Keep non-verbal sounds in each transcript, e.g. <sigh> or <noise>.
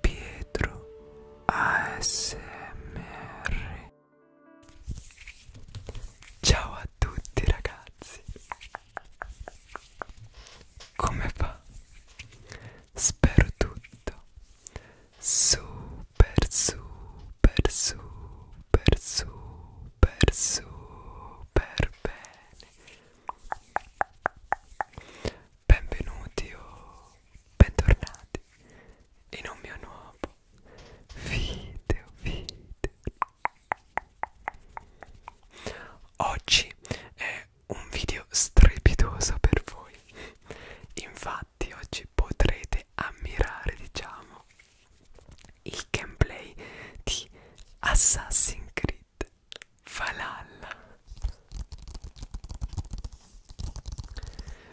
Pietro ASMR Ciao a tutti ragazzi Come va? Spero tutto super super super super super bene benvenuti o bentornati in un mio nuovo video video oggi è un video strepitoso per voi infatti oggi potrete ammirare diciamo il gameplay di Assassin's Creed Valhalla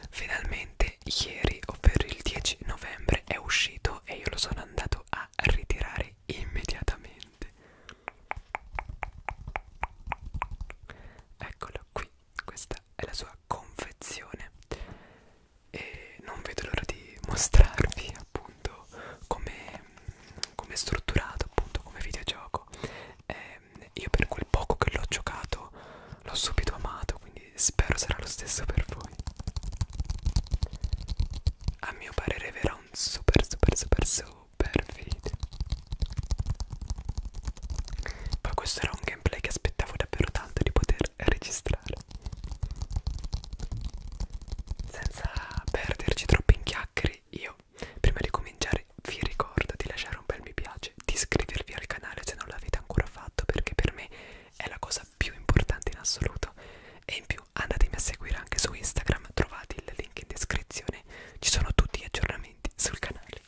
Finalmente ieri, ovvero il 10 novembre, è uscito e io lo sono andato a ritirare immediatamente. Eccolo qui, questa è la sua confezione e non vedo l'ora di mostrarvi appunto appunto come, come è strutturato appunto come videogioco e ehm, io per quel poco che l'ho giocato l'ho subito amato quindi spero sarà lo stesso per voi a mio parere verrà un super super super super video poi questo era un gameplay che aspettavo davvero tanto di poter registrare senza perderci troppo in chiacchiere io Prima di cominciare vi ricordo di lasciare un bel mi piace, di iscrivervi al canale se non l'avete ancora fatto perché per me è la cosa più importante in assoluto e in più andatemi a seguire anche su Instagram, trovate il link in descrizione, ci sono tutti gli aggiornamenti sul canale.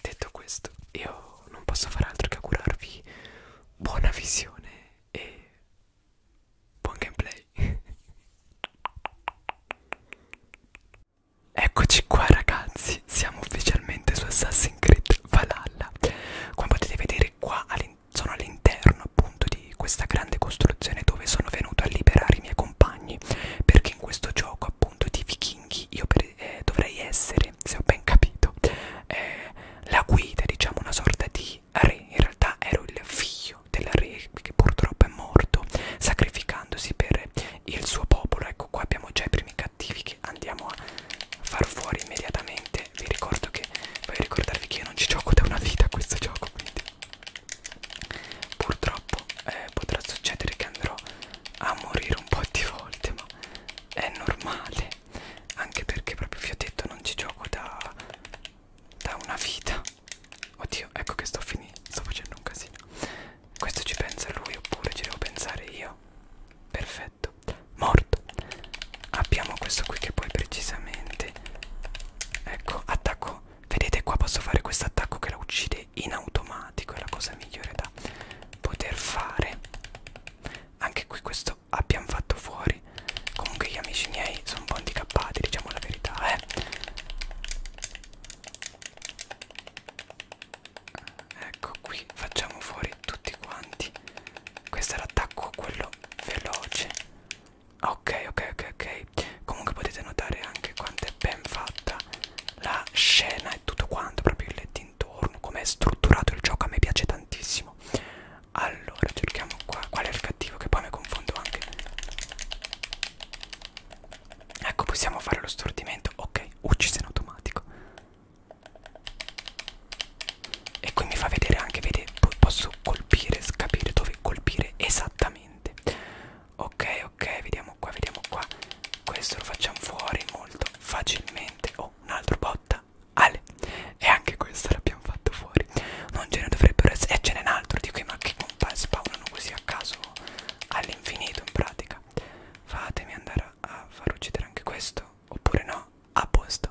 Detto questo io non posso fare altro che augurarvi buona visione e Buon gameplay. <laughs> Eccoci qua ragazzi, siamo ufficialmente su Assassin's Creed Valhalla. Come potete vedere qua all sono all'interno appunto di questa grande costruzione dove sono venuto a liberare i miei compagni. Perché in questo gioco appunto di vichinghi io eh, dovrei essere, se ho ben capito, eh, la guida, diciamo una sorta di di re, in realtà ero il figlio del re che purtroppo è morto sacrificandosi per il suo popolo ecco qua abbiamo già i primi cattivi che andiamo a far fuori immediatamente vi ricordo che voglio ricordarvi che io non ci gioco da una vita a questo gioco quindi purtroppo eh, potrà succedere che andrò a morire un po' di volte ma è normale anche perché proprio vi ho detto non ci gioco da da una vita Oddio, ecco che sto finendo, sto facendo un casino. Questo ci pensa lui oppure ci devo pensare io? Perfetto, morto. Abbiamo questo qui che poi precisamente... Ecco, attacco. Vedete qua posso fare questo attacco che la uccide in automatico, è la cosa migliore da poter fare. Anche qui questo abbiamo fatto fuori ok comunque gli amici miei sono un po' handicappati diciamo la verità eh ecco qui facciamo fuori tutti quanti questo è l'attacco quello veloce ok ok ok ok comunque potete notare anche quanto è ben fatta la scena e tutto quanto proprio il letto intorno come è strutturato il gioco a me piace tantissimo allora cerchiamo qua Qual è il cattivo che poi mi confondo anche Ecco possiamo fare lo stordimento Ok uccise in automatico E qui mi fa vedere anche vede, Posso colpire Capire dove colpire esattamente Ok ok Vediamo qua vediamo qua Questo lo facciamo fuori molto facilmente Oh un altro botta Ale e anche questo l'abbiamo fatto fuori non ce ne dovrebbero essere e ce n'è un altro di cui ma che compa spawnano così a caso all'infinito in pratica fatemi andare a far uccidere anche questo oppure no a posto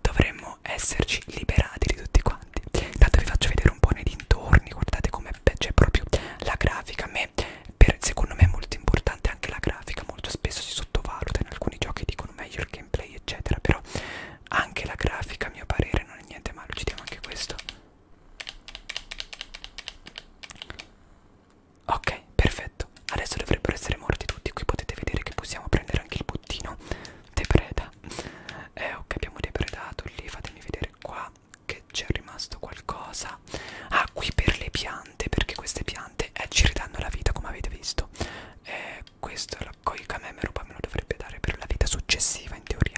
dovremmo esserci liberati di tutti quanti intanto vi faccio vedere un po' nei dintorni guardate come c'è proprio la grafica a me per, secondo me è molto importante anche la grafica molto spesso si sottovaluta in alcuni giochi dicono meglio il gameplay eccetera però anche la grafica a mio parere non è niente male, uccidiamo anche questo. Ok, perfetto. Adesso dovrebbero essere morti tutti. Qui potete vedere che possiamo prendere anche il bottino depreda. Eh, ok, abbiamo depredato lì. Fatemi vedere qua che c'è rimasto qualcosa. Ah, qui per le piante, perché queste piante eh, ci ridanno la vita, come avete visto. Eh, questa è la Coi Kamemeruba me lo dovrebbe dare per la vita successiva in teoria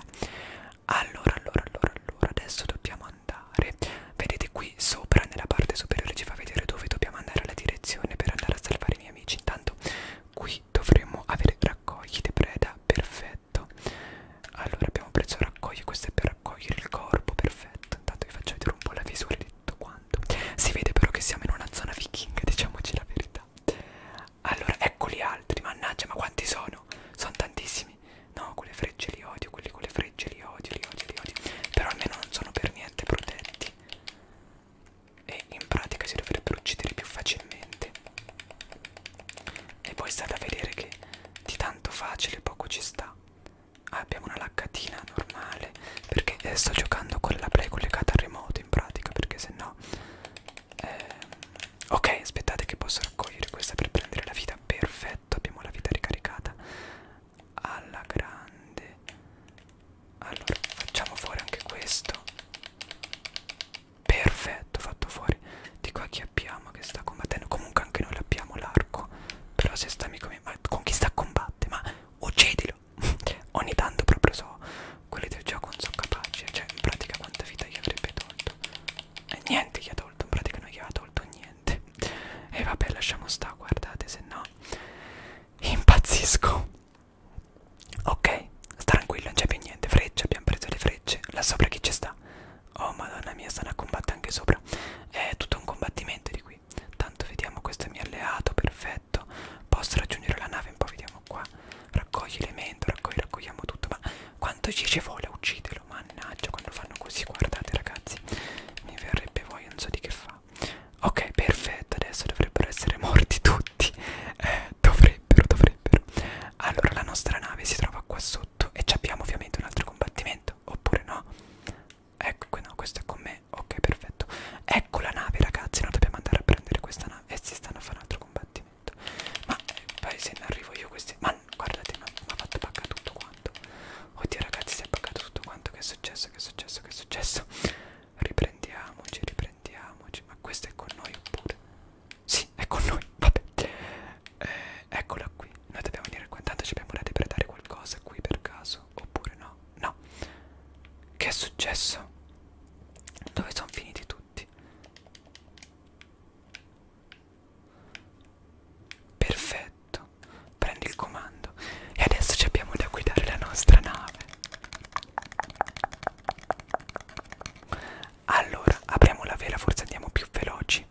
Allora allora allora allora adesso dobbiamo andare Vedete qui sopra nella parte superiore ci fa vedere dove dobbiamo andare alla direzione per andare a salvare i miei amici Intanto qui dovremmo avere raccogli di preda perfetto Allora abbiamo preso raccogli questo è per raccogliere il corpo perfetto Intanto vi faccio vedere un po' la visuale di tutto quanto Si vede però che siamo in una zona vichinga diciamoci la verità merda allora eccoli altri mannaggia ma quanti sono sono tantissimi no quelle frecce li odio quelli con le frecce li odio li odio li odio però almeno non sono per niente protetti e in pratica si dovrebbero uccidere più facilmente e poi sta da vedere che di tanto facile poco ci sta ah, abbiamo una laccatina normale perché eh, sto giocando con la play collegata al remoto in pratica perché se no eh, ok aspettate che posso raccogliere questa per prendere la vita perfetto abbiamo la vita ricaricata alla grande allora facciamo fuori anche questo perfetto fatto fuori di qua chi abbiamo che sta combattendo comunque anche noi abbiamo l'arco però se sta amico mio ma con chi sta a combattere ma uccidilo ogni tanto proprio so quelli del gioco non sono capace cioè in pratica quanta vita gli avrebbe tolto e niente gli ha tolto in pratica non gli ha tolto niente e vabbè lasciamo sta guardate se no impazzisco ok sta tranquillo non c'è più niente frecce abbiamo preso le frecce là sopra chi ci sta oh madonna mia stanno a combattere anche sopra è tutto un combattimento di qui tanto vediamo questo è mio alleato perfetto perfetto posso raggiungere la nave un po' vediamo qua raccogli elemento raccogli raccogliamo tutto ma quanto ci ci vuole uccidelo mannaggia quando fanno così guardate ragazzi mi verrebbe voglia non so di che fa ok perfetto adesso dovrebbero essere morti tutti eh, dovrebbero dovrebbero allora la nostra nave si trova qua sotto e ci abbiamo ovviamente un altro combattimento oppure no ecco no questo è con me me ok perfetto ecco la nave ragazzi noi dobbiamo andare a prendere questa nave e eh, si stanno a fare un altro combattimento ma eh, poi se ne arrivo io questi ma guardate mi ha fatto pagare tutto quanto oddio ragazzi si è pagato tutto quanto che è successo che è successo che è successo riprendiamoci riprendiamoci ma questo è con noi oppure sì è con noi vabbè eh, eccola qui noi dobbiamo venire qua intanto ci abbiamo da depredare qualcosa qui per caso oppure no No. Che è successo? Dove sono finiti tutti? Perfetto. Prendi il comando. E adesso ci abbiamo da guidare la nostra nave. Allora, apriamo la vela, forse andiamo più veloci.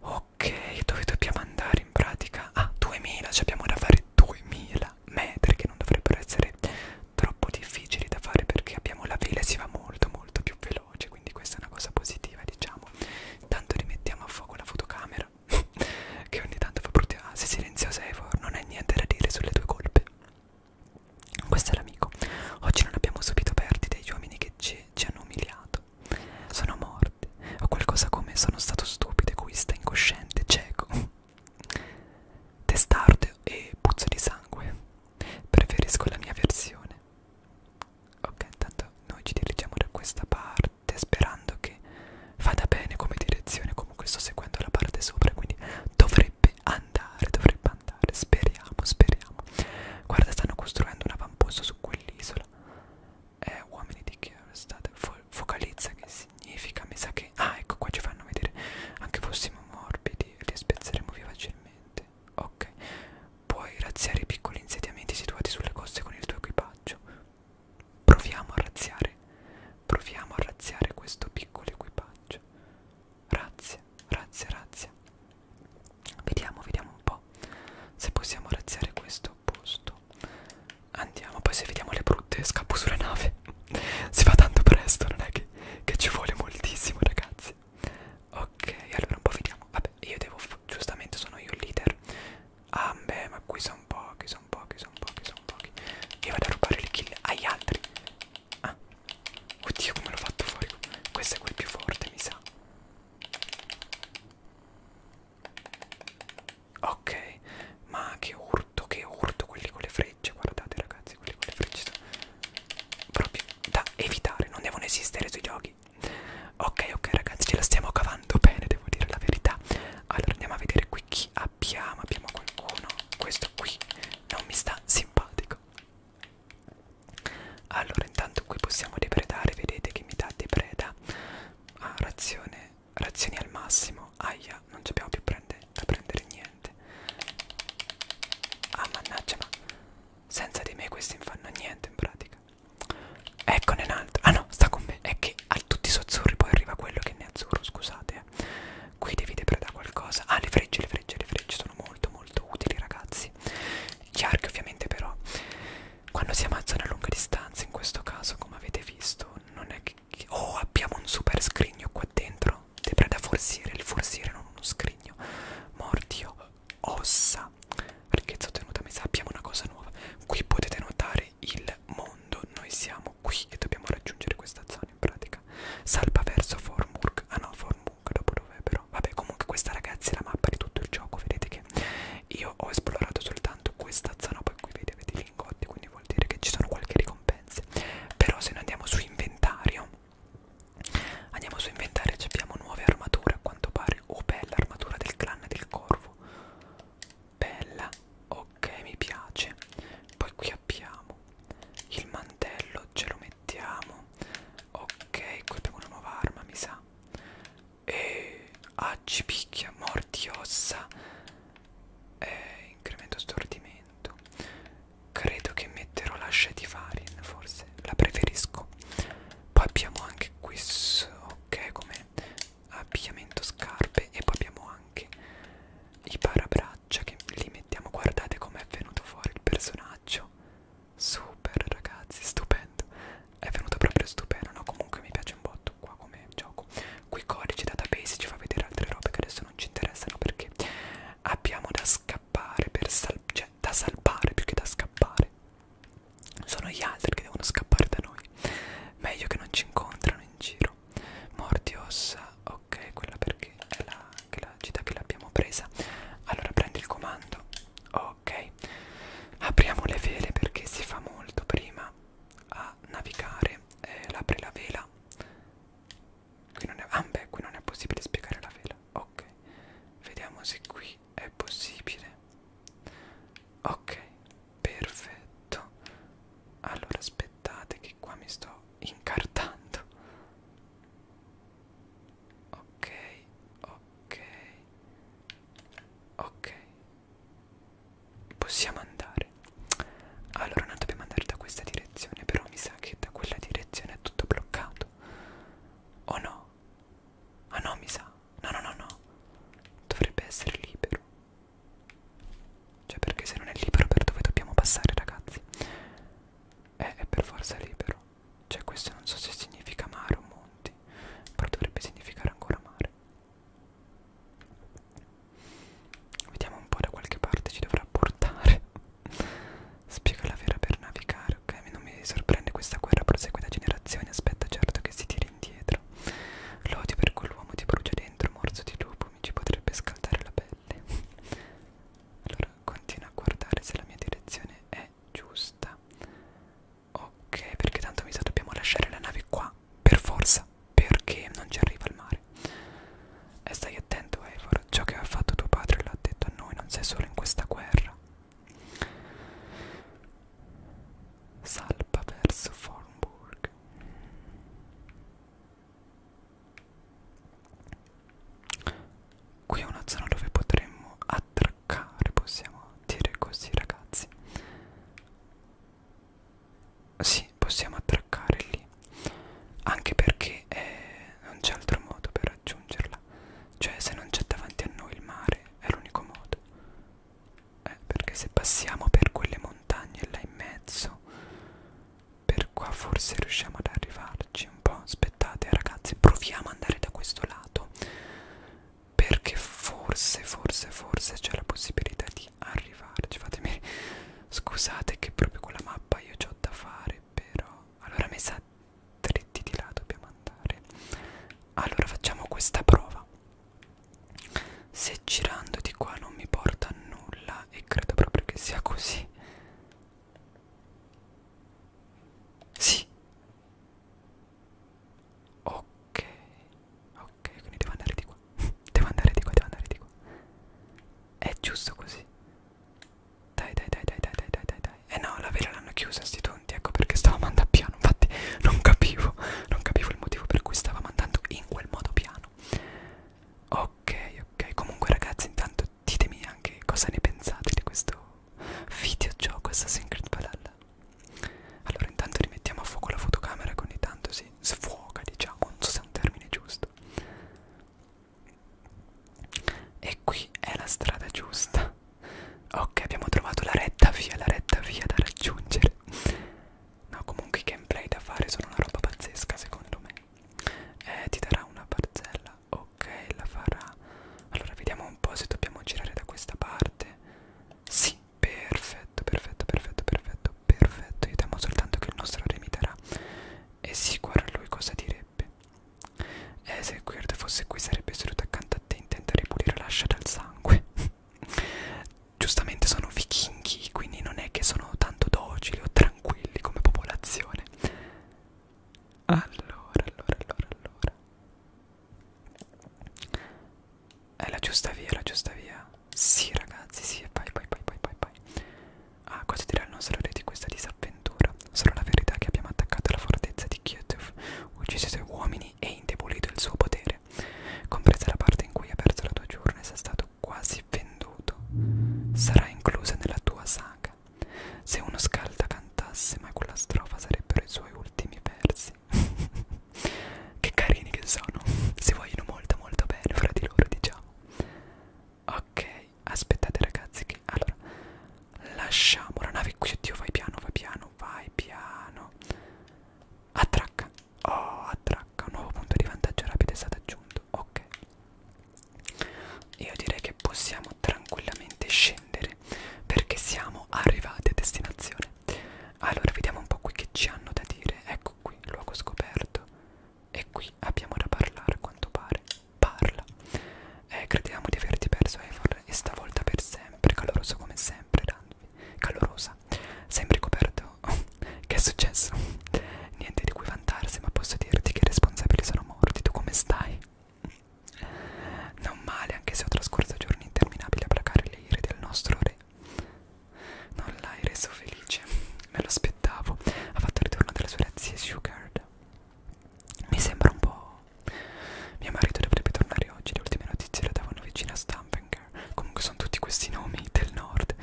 Ok, dove dobbiamo andare in pratica? Ah, 2000, ci abbiamo da fare 2000. 30 metri che non dovrebbero essere troppo difficili da fare perché abbiamo la vela e si va molto molto più veloce quindi questa è una cosa positiva diciamo tanto rimettiamo a fuoco la fotocamera <laughs> che ogni tanto fa brutti ah, sei silenziosa Eivor non hai niente da dire sulle tue colpe questo è l'amico oggi non abbiamo subito perdite degli uomini che ci, ci hanno umiliato sono morti o qualcosa come sono stato stupido egoista incosciente cieco testardo e puzzo di sangue preferisco la mia versione ok intanto noi ci dirigiamo da questa parte sperando che vada bene come direzione comunque sto seguendo la parte sopra quindi dovrebbe andare dovrebbe andare speriamo speriamo guarda stanno costruendo un avamposto su quell'isola eh uomini di chiaro state for focalizza che significa mi sa che ah ecco qua ci fanno vedere anche fossimo morbidi li spezzeremo via facilmente ok puoi razziare i piccoli insediamenti situati sulle coste con il tuo equipaggio proviamo a razziare proviamo a razziare questo piccolo equipaggio razzia razzia razzia vediamo vediamo un po se possiamo razziare questo posto Andiamo, poi se vediamo le brutte scappo sulla nave. <laughs> si fa tanto presto, non è che, che ci vuole moltissimo, ragazzi. Ok, allora un po' vediamo. Vabbè, io devo, giustamente sono io il leader. Ah, beh, ma qui sono pochi, sono pochi, sono pochi, sono pochi. Io vado a rubare le kill agli altri. Ah, oddio, come l'ho fatto fuori. Questo è quel più forte, mi sa. Ok, ma che urto, che urto quelli con le frecce, guardate ragazzi, quelli con le frecce proprio da evitare, non devono esistere sui giochi. Ok, ok ragazzi, ce la stiamo cavando bene, devo dire la verità. Allora andiamo a vedere qui chi abbiamo, abbiamo qualcuno, questo qui non mi sta simpatico. Allora intanto qui possiamo depredare, vedete che mi dà depreda. Ah, razione Razioni al massimo. Aia, non ci abbiamo più prende, da prendere niente. Ah, mannaggia, ma senza di me questi non fanno niente in pratica. Eccone un'altra. Ah no, sta con me. È che a tutti i sozzurri poi arriva quello che ne è azzurro, scusate. Eh. Qui devi depredare qualcosa. Ah, le frecce, le frecce, le frecce sono molto molto utili, ragazzi. Gli archi ovviamente però, quando si ammazzano a lunga distanza, in questo caso, come avete visto, non è Oh, abbiamo un super scrigno qua dentro. Debra da forziere, il forziere non uno scrigno. Mordio, ossa. Ricchezza ottenuta, mi sa, abbiamo una cosa nuova. Qui potete notare il mondo. Noi siamo qui e dobbiamo raggiungere questa zona in pratica. Salpa verso Formburg. Ah no, Formburg dopo dovrebbero. Vabbè, comunque questa ragazzi è la mappa di tutto il gioco. Vedete che io ho esplorato soltanto questa zona. Poi qui vedete lingotti quindi vuol dire che ci sono qualche ricompense però se noi andiamo su inventario andiamo su inventario e abbiamo nuove armature a quanto pare oh bella armatura del clan del corvo bella ok mi piace poi qui abbiamo il mantello ce lo mettiamo ok qui abbiamo una nuova arma mi sa e acci picchia morti ossa e incremento stordimento credo che metterò l'ascia di Varien forse la preferisco poi abbiamo anche questo ok come abbigliamento scarpe e poi abbiamo anche i parabraccia che li mettiamo guardate com'è venuto fuori il personaggio super ragazzi stupendo è venuta proprio stupenda no comunque mi piace un botto qua come gioco qui codice database ci fa vedere altre robe che adesso non ci interessano perché abbiamo da scappare per sal cioè da salvare più che da scappare sono gli altri che devono scappare da noi meglio che non ci incontrano in giro morti ossa ok quella perché è la, che la città che l'abbiamo presa allora prendi il comando ok apriamo le vele perché si fa molto prima a navigare eh, apre la vela qui non è ah beh qui non è possibile spiegare la vela ok vediamo se qui è possibile ok perfetto allora aspettate che qua mi sto incartando ok ok ok possiamo andare allora noi dobbiamo andare da questa direzione però mi sa che da quella direzione è tutto bloccato o oh no ah no mi sa no no no no dovrebbe essere libero cioè perché se non è libero per dove dobbiamo passare ragazzi è, è per forza libero cioè questo non so se significa mare o monti però dovrebbe significare ancora mare Vediamo un po' da qualche parte ci dovrà portare. <laughs> Spiega la vera per navigare, ok? Non mi sorprende questa guerra prosegue da generazioni, aspetta certo che si tiri indietro. L'odio per quell'uomo ti brucia dentro, morso di lupo, mi ci potrebbe scaldare la pelle. <laughs> allora, continua a guardare se la mia direzione è giusta. Ok, perché tanto mi sa dobbiamo lasciare la nave qua, per forza, perché non ci arriva il mare. E stai attento, Eivor, ciò che ha fatto tuo padre l'ha detto a noi, non sei solo in questa guerra. Salpa verso Formburg. Qui è una zona dove potremmo attraccare, possiamo dire così ragazzi. Sì, possiamo attraccare lì. Anche perché eh, non c'è altro modo per raggiungerla. Cioè, se non c'è davanti a noi il mare, è l'unico modo. Eh, perché se passiamo per quelle montagne là in mezzo, per qua forse riusciamo ad arrivarci un po'. Aspettate, ragazzi, proviamo ad andare da questo lato perché forse, forse, forse c'è la possibilità di arrivarci. Fatemi <laughs> scusate che proprio con la mappa io ho da fare, però allora mi sa dritti di là dobbiamo andare. Allora facciamo questa prova. Se girando di qua non mi porta a nulla e credo proprio che sia così. Sì, Ok, ok, quindi devo andare di qua. <laughs> devo andare di qua, devo andare di qua. È giusto così. Dai, dai, dai, dai, dai, dai, dai, dai, dai. Eh no, la vela l'hanno chiusa sti tonti, ecco perché stavo mandando piano. Infatti <laughs> non capivo, non capivo il motivo per cui stava mandando in quel modo piano. Ok, ok. Comunque ragazzi, intanto ditemi anche cosa ne pensate di questo videogioco Assassin's Creed Valhalla. Allora intanto rimettiamo a fuoco la fotocamera che ogni tanto si sfuoca diciamo, non so se è un termine giusto E qui è la strada giusta Ok abbiamo trovato la retta via, la retta via da raggiungere No comunque i gameplay da fare sono una roba pazzesca secondo me eh, Ti darà una parzella, ok la farà Allora vediamo un po' se dobbiamo girare da questa parte sì, Perfetto, perfetto, perfetto, perfetto, perfetto. Io temo soltanto che il nostro re mi darà. E sì, guarda lui cosa direbbe. E eh, se Quird fosse qui sarebbe seduto accanto a te intenta ripulire l'ascia dal sangue. <laughs> Giustamente sono vichinghi, quindi non è che sono tanto docili o tranquilli come popolazione. Allora, allora, allora, allora. È la giusta via, la giusta via. Sì, ragazzi, sì, vai, vai, vai, vai, vai, vai. Ah, cosa dirà il nostro re di questa disavventura? Solo la verità che abbiamo attaccato la fortezza di Kiev, ucciso i suoi uomini e indebolito il suo potere, compresa la parte in cui ha perso la tua giornata e sei stato quasi venduto. Sarà inclusa nella tua saga. Se uno scalda cantasse, ma quella strofa sarebbero i suoi ultimi versi ragazzi <laughs> che carini che sono <laughs> si vogliono molto molto bene fra di loro diciamo ok aspettate ragazzi che allora lasciamo la nave qui oddio vai piano vai piano vai piano attracca oh attracca un nuovo punto di vantaggio rapido è stato aggiunto ok io direi che possiamo tranquillamente scendere prendere perché siamo arrivati a destinazione. Allora, vediamo un po' qui che ci hanno da dire. Ecco qui, luogo scoperto. E qui abbiamo da parlare, a quanto pare. Parla. Eh, crediamo di averti perso, Eivor, e stavolta per sempre. Caloroso come sempre, Ranvi. Calorosa. Sempre coperto. <laughs> che è successo? <laughs> Niente di cui vantarsi, ma posso dirti che i responsabili sono morti. Tu come stai? Non male, anche se ho trascorso giorni interminabili a placare le ire del nostro re. Non l'hai reso felice, me lo aspettavo. Ha fatto il ritorno delle sue razzie Sugared. Mi sembra un po'. Mio marito dovrebbe tornare oggi. Le ultime notizie le davano vicino a Stampinger. Comunque sono tutti questi nomi del nord.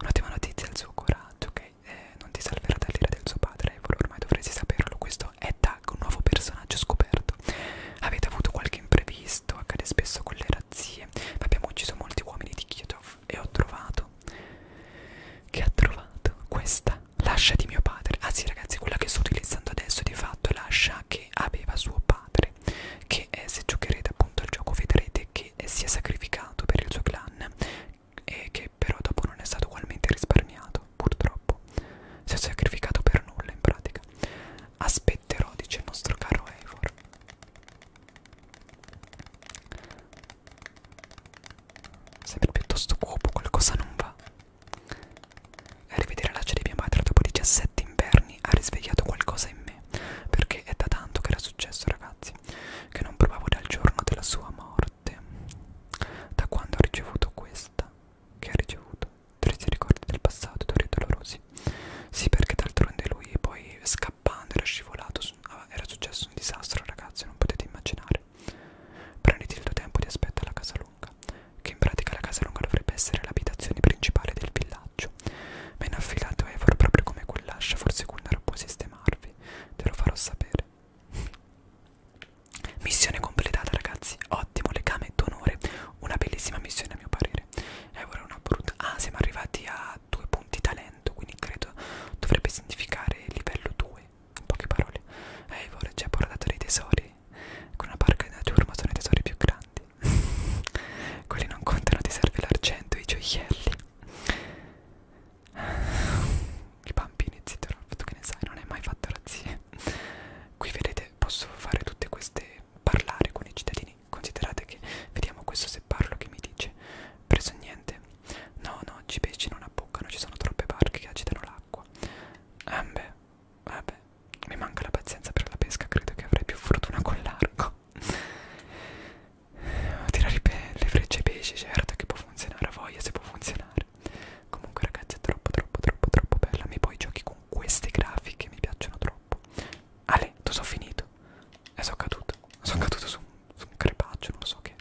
Un'ottima notizia è il suo coraggio, ok? Eh, non ti salverà dall'ira del suo padre, Evolo, ormai dovresti saperlo, questo giorno è Doug, un nuovo personaggio scoperto. Avete avuto qualche imprevisto, accade spesso con le razzie, ma abbiamo ucciso molti uomini di Kiev e ho trovato... Che ha trovato? Questa, l'ascia di mio padre. Ah sì ragazzi, quella che sto utilizzando adesso di fatto è l'ascia che aveva suo padre, che eh, se giocherete appunto al gioco vedrete che eh, si è sacrificato per il suo clan e che però dopo non è stato ugualmente risparmiato tornato, purtroppo. Si è sacrificato per nulla in pratica. Aspetterò, dice il nostro caro Eivor. Sembra piuttosto cuopo, qualcosa non va. A rivedere la di mia madre dopo 17 inverni ha risvegliato qualcosa in me, perché è da tanto che era successo, ragazzi, che non provavo dal giorno della sua morte. Da quando ho ricevuto questa, che ha ricevuto triste ricordi del passato, duri e dolorosi. Sì, perché d'altronde lui poi scappando era scivolato, ah, era successo un disastro, ragazzi, non potete immaginare. Prenditi il tuo tempo di aspetto alla casa lunga, che in pratica la casa lunga dovrebbe essere l'abitazione principale del villaggio. Ma in affidato Evor, proprio come quell'ascia, forse Gunnar può sistemarvi, te lo farò sapere. Missione completata ragazzi, ottimo legame d'onore, una bellissima missione a mio parere. E eh, ora una brutta... Ah, siamo arrivati a due punti talento, quindi credo dovrebbe significare livello 2, in poche parole. E eh, ora ci ha portato dei tesori, con una barca di natura ma sono i tesori più grandi. <laughs> Quelli non contano, ti serve l'argento, i gioielli. I bambini, zitto, fatto che ne sai, non è mai fatto razzie. Qui vedete ovviamente posso fare tutte queste parlare con i cittadini considerate che vediamo questo se parlo che mi dice preso niente no no oggi pesci non appuccano ci sono troppe barche che agitano l'acqua eh beh vabbè eh, mi manca la pazienza per la pesca credo che avrei più fortuna con l'arco tirare le frecce ai pesci certo che può funzionare a voglia se può funzionare sempre comunque ragazzi è troppo troppo troppo troppo bella mi poi giochi con queste grafiche mi piacciono troppo Ale tu sono finito e sono caduto sono caduto su, su un crepaccio non lo so che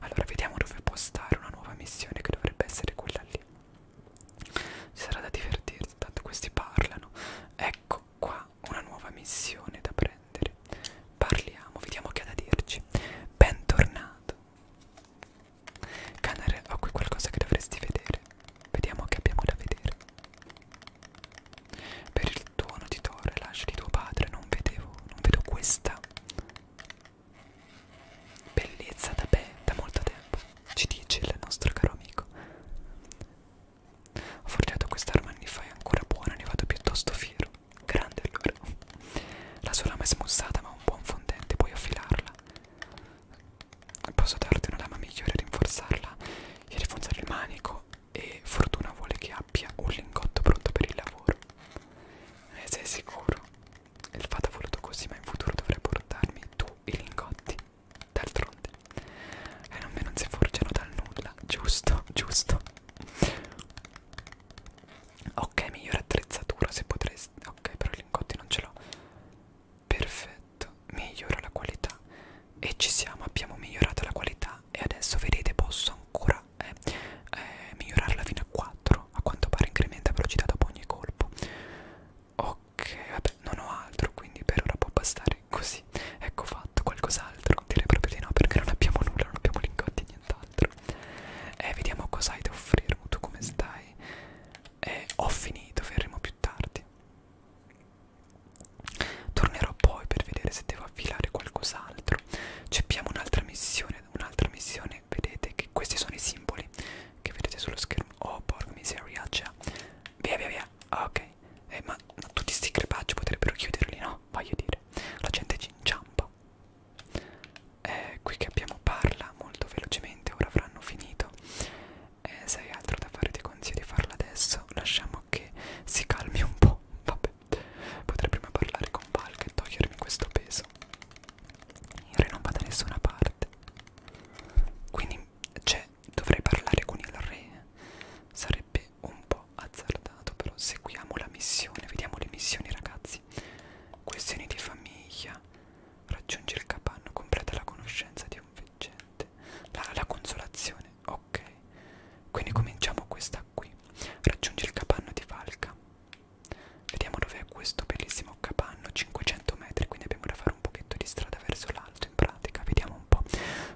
allora vediamo dove postare una nuova missione che dovrebbe essere quella lì ci sarà da divertirsi tanto questi parlano ecco qua una nuova missione da prendere parliamo vediamo che ha da dirci bentornato Canare, ho qui qualcosa che dovresti vedere. Vediamo che abbiamo da vedere. Per il tuo notitore, lascia di tuo padre, non vedevo, non vedo questa bellezza da, be da molto tempo, ci dice il nostro caro amico. Ho forgiato quest'arma anni fa, è ancora buona, ne vado piuttosto fiero. Grande allora. La sua lama è smussata ma ha un buon fondente, puoi affilarla. Posso darti una lama migliore e rinforzarla e rinforzare il manico e fortuna vuole che abbia un lingotto pronto per il lavoro. E sei sicuro? Il fatto ha voluto così, ma in futuro dovrai portarmi tu i lingotti. D'altronde. E non me non si forgiano dal nulla, giusto, giusto. Ok, migliore attrezzatura se potresti. Ok, però lingotti non ce l'ho perfetto migliora la qualità e ci siamo abbiamo migliorato la qualità e adesso vedete posso ancora eh, eh, migliorarla fino a 4 a quanto pare incrementa velocità dopo ogni colpo ok vabbè non ho altro quindi per ora può bastare così ecco fatto qualcos'altro direi proprio di no perché non abbiamo nulla non abbiamo lingotti nient'altro eh, vediamo cosa hai da offrirmi tu come stai eh, ho finito, fermo più tardi. Tornerò poi per vedere se devo affilare qualcos'altro. Ceppiamo un'altra missione, un'altra missione, vedete che questi sono i simboli che vedete sullo schermo. Oh, porca miseria, già. Cioè, via, via, via. Ah, ok, eh, ma, ma tutti sti crepacci potrebbero chiuderli, no? Voglio dire, la gente ci inciampa eh, qui che abbiamo parla molto velocemente ora avranno finito eh, se hai altro da fare ti consiglio di farla adesso lasciamo che si calmi un po' vabbè potrei prima parlare con Valk e togliermi questo peso Re non va da nessuna parte quindi cioè dovrei parlare con il re sarebbe un po' azzardato però seguiamo la missione vediamo le missioni ragazzi questioni di famiglia Raggiunge il capanno, completa la conoscenza di un veggente. La, la consolazione, ok. Quindi cominciamo questa qui. Raggiunge il capanno di Valca. Vediamo dov'è questo bellissimo capanno, 500 metri, quindi abbiamo da fare un pochetto di strada verso l'alto in pratica. Vediamo un po'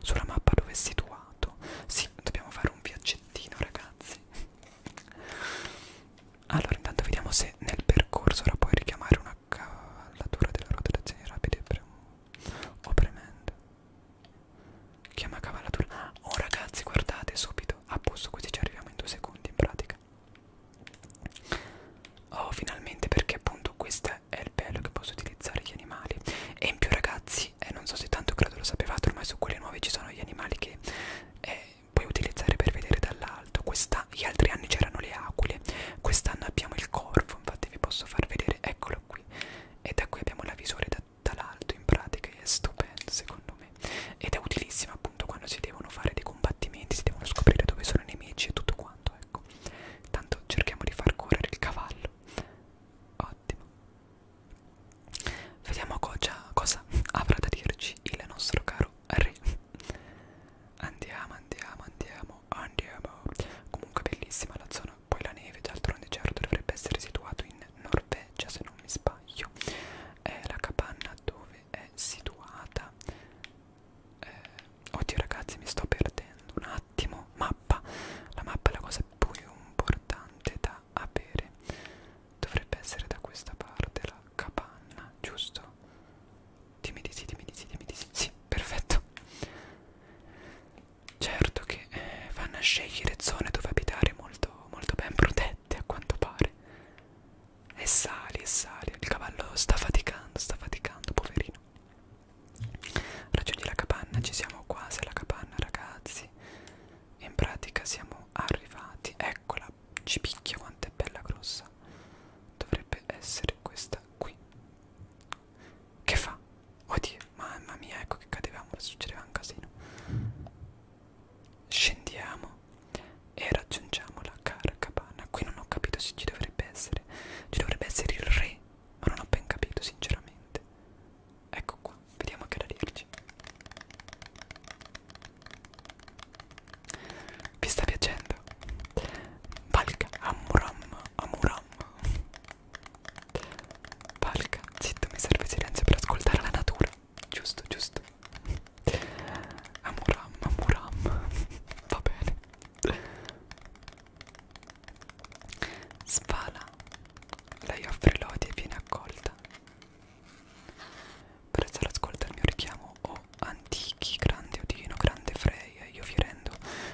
sulla mappa dove è situato. Sì, dobbiamo fare un viaggettino ragazzi. Allora intanto vediamo se nel percorso ora puoi richiamare una cavallatura della ruota d'azione rapide pre o premendo. Chiama cavallatura. Oh ragazzi guardate subito. A posto così ci arriviamo in due secondi in pratica. Oh finalmente perché appunto questo è il bello che posso utilizzare gli animali. E in più ragazzi, eh, non so se tanto credo lo sapevate, ormai su quelle nuove ci sono gli animali che... Eh, puoi utilizzare per vedere dall'alto. Questa, gli altri anni c'erano le aquile, quest'anno abbiamo il corvo, infatti vi posso far vedere, eccolo qui. E da qui abbiamo la visore da, dall'alto in pratica, è stupendo secondo me. Ed è utilissima appunto quando si devono fare dei combattimenti, si devono scoprire dove sono i nemici e tutto quanto, ecco. Tanto cerchiamo di far correre il cavallo. Ottimo. Vediamo cosa, cosa <laughs> avrà da dirci il nostro caro re andiamo andiamo andiamo andiamo comunque bellissima la zona poi la neve d'altronde certo dovrebbe essere situato in Norvegia se non mi sbaglio è la capanna dove è situata eh, oddio ragazzi mi sto perdendo un attimo mappa la mappa è la cosa più importante da avere Dovrebbe essere da questa parte la capanna, giusto? Dimmi di sì, dimmi di sì, dimmi di sì. Sì, perfetto. Certo che eh, vanno a scegliere zone dove abitare molto, molto ben protette, a quanto pare. E sali, e sali. Il cavallo sta faticando, sta faticando, poverino. Raggiungi la capanna, ci siamo quasi alla capanna, ragazzi. In pratica siamo arrivati. Eccola, ci picchia quanto è bella grossa dovrebbe essere questa qui che fa? oddio mamma mia ecco che cadevamo succedeva un casino scendiamo e raggiungiamo la carcapana qui non ho capito se ci dovrebbe essere ci dovrebbe essere il re ma non ho ben capito sinceramente ecco qua vediamo che arrivarci oggi. Vi sta piacendo? Valka, amuram, amuram. Valka, zitto, mi serve silenzio per ascoltare la natura. Giusto, giusto. Amuram, amuram. Va bene. Svala. Lei offre lodi e viene accolta. Prezzare ascolta il mio richiamo o oh, antichi, grande Odino, grande Freya, io fierendo.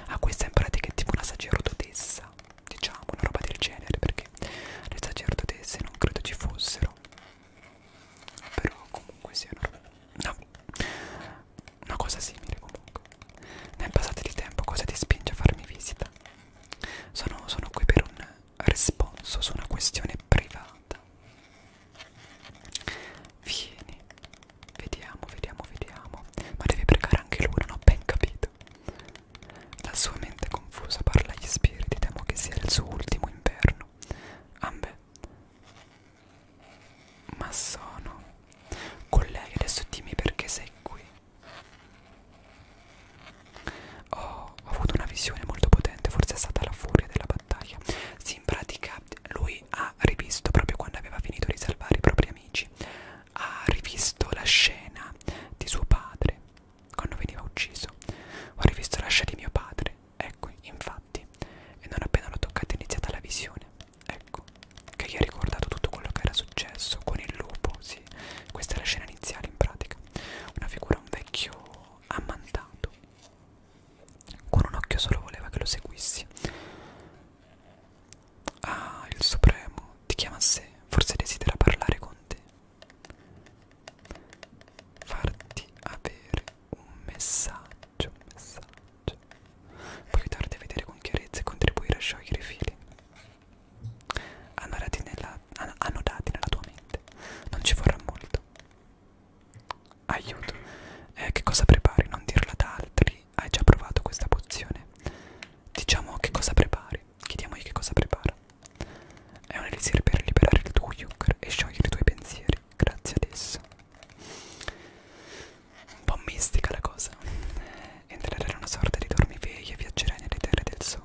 Ah, questa in pratica è tipo una sacerdotessa, diciamo, una roba del genere, perché le sacerdotesse non credo ci fossero. Però comunque sia una roba... No, una cosa simile comunque. Nel passato di tempo cosa ti spinge a farmi visita? Sono, sono qui per un responso su una questione privata vieni vediamo vediamo vediamo ma devi pregare anche lui non ho ben capito la sua mente confusa parla agli spiriti temo che sia il suo ultimo inverno ambe ma sono collega adesso dimmi perché sei qui ho, ho avuto una visione molto potente, forse è stata la furia della battaglia. Sì, in pratica lui ha rivisto, proprio quando aveva finito di salvare i propri amici, ha rivisto la scena di suo padre quando veniva ucciso. Ho rivisto la scena di mio padre, ecco, infatti, e non appena l'ho toccata è iniziata la visione, ecco, che gli ha ricordato tutto quello che era successo con il lupo, sì, questa è la scena iniziale in pratica. Una figura, un vecchio ammantato. Con un occhio solo voleva che lo seguissi. Ah, il Supremo ti chiama a sé, forse desidera parlare con te. Farti avere un messaggio, un messaggio. Puoi aiutarti a vedere con chiarezza e contribuire a sciogliere i fili. Andati nella annodati nella tua mente. Non ci vorrà molto. Aiuto. Eh, che cosa prepari? Non dirla ad altri. Hai già provato questa pozione. Diciamo che cosa prepari. Chiediamogli che cosa prepara. È un elisir per liberare il tuo yukr e sciogliere i tuoi pensieri. Grazie ad esso. Un po' mistica la cosa. Entrerai in una sorta di dormiveglia e viaggerai nelle terre del sogno.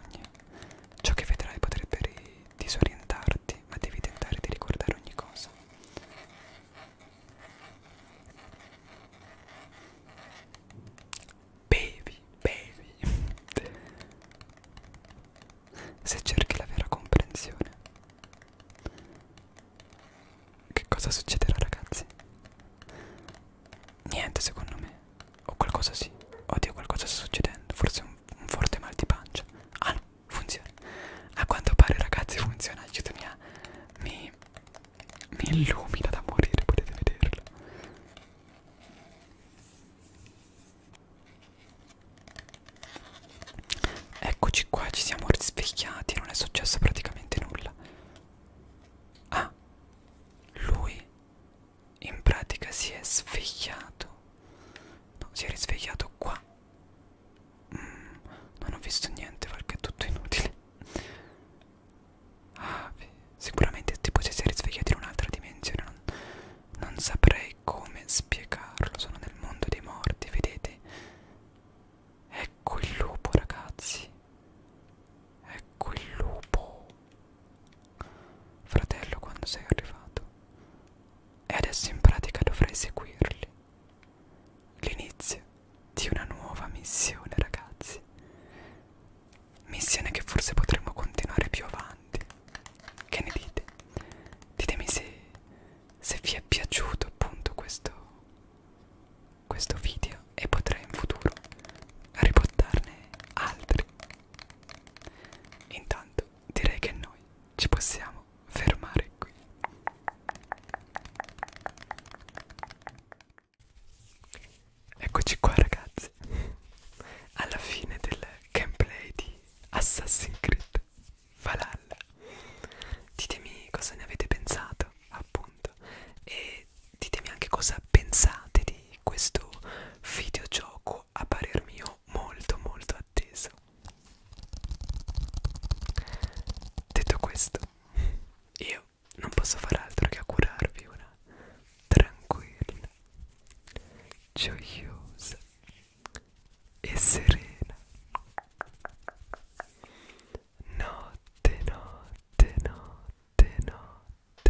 Ciò che vedrai potrebbe disorientarti, ma devi tentare di ricordare ogni cosa. Bevi, bevi. Se cerchi la vera comprensione. Che cosa succederà ragazzi? Niente secondo me. O qualcosa sì. Oddio, qualcosa sta succedendo. Forse un, un forte mal di pancia. Ah no, funziona. A quanto pare ragazzi funziona, aiutami a... Mi, mi illumina da morire, potete vederlo. Eccoci qua, ci siamo risvegliati, non è successo praticamente nulla. Ah, lui in pratica si è svegliato no, si è risvegliato qua mm, non ho visto niente perché è tutto inutile ah, sicuramente tipo si è risvegliato in un'altra dimensione non, non saprei come spiegarlo sono nel mondo dei morti vedete ecco il lupo ragazzi ecco il lupo Fratello, quando sei arrivato? E adesso in pratica dovrai seguirli. L'inizio di una nuova missione, ragazzi. Missione che forse potremo continuare più avanti. Che ne dite? Ditemi se, se vi è piaciuto appunto questo, questo video e potrei in futuro riportarne altri Intanto direi che noi ci possiamo fermare qui. Eccoci qua ragazzi, alla fine del gameplay di Assassin's Creed Valhalla. Ditemi cosa ne avete pensato, appunto, e ditemi anche cosa pensate di questo videogioco a parer mio molto molto atteso detto questo io non posso far altro che augurarvi una tranquilla gioiosa e serena notte notte notte notte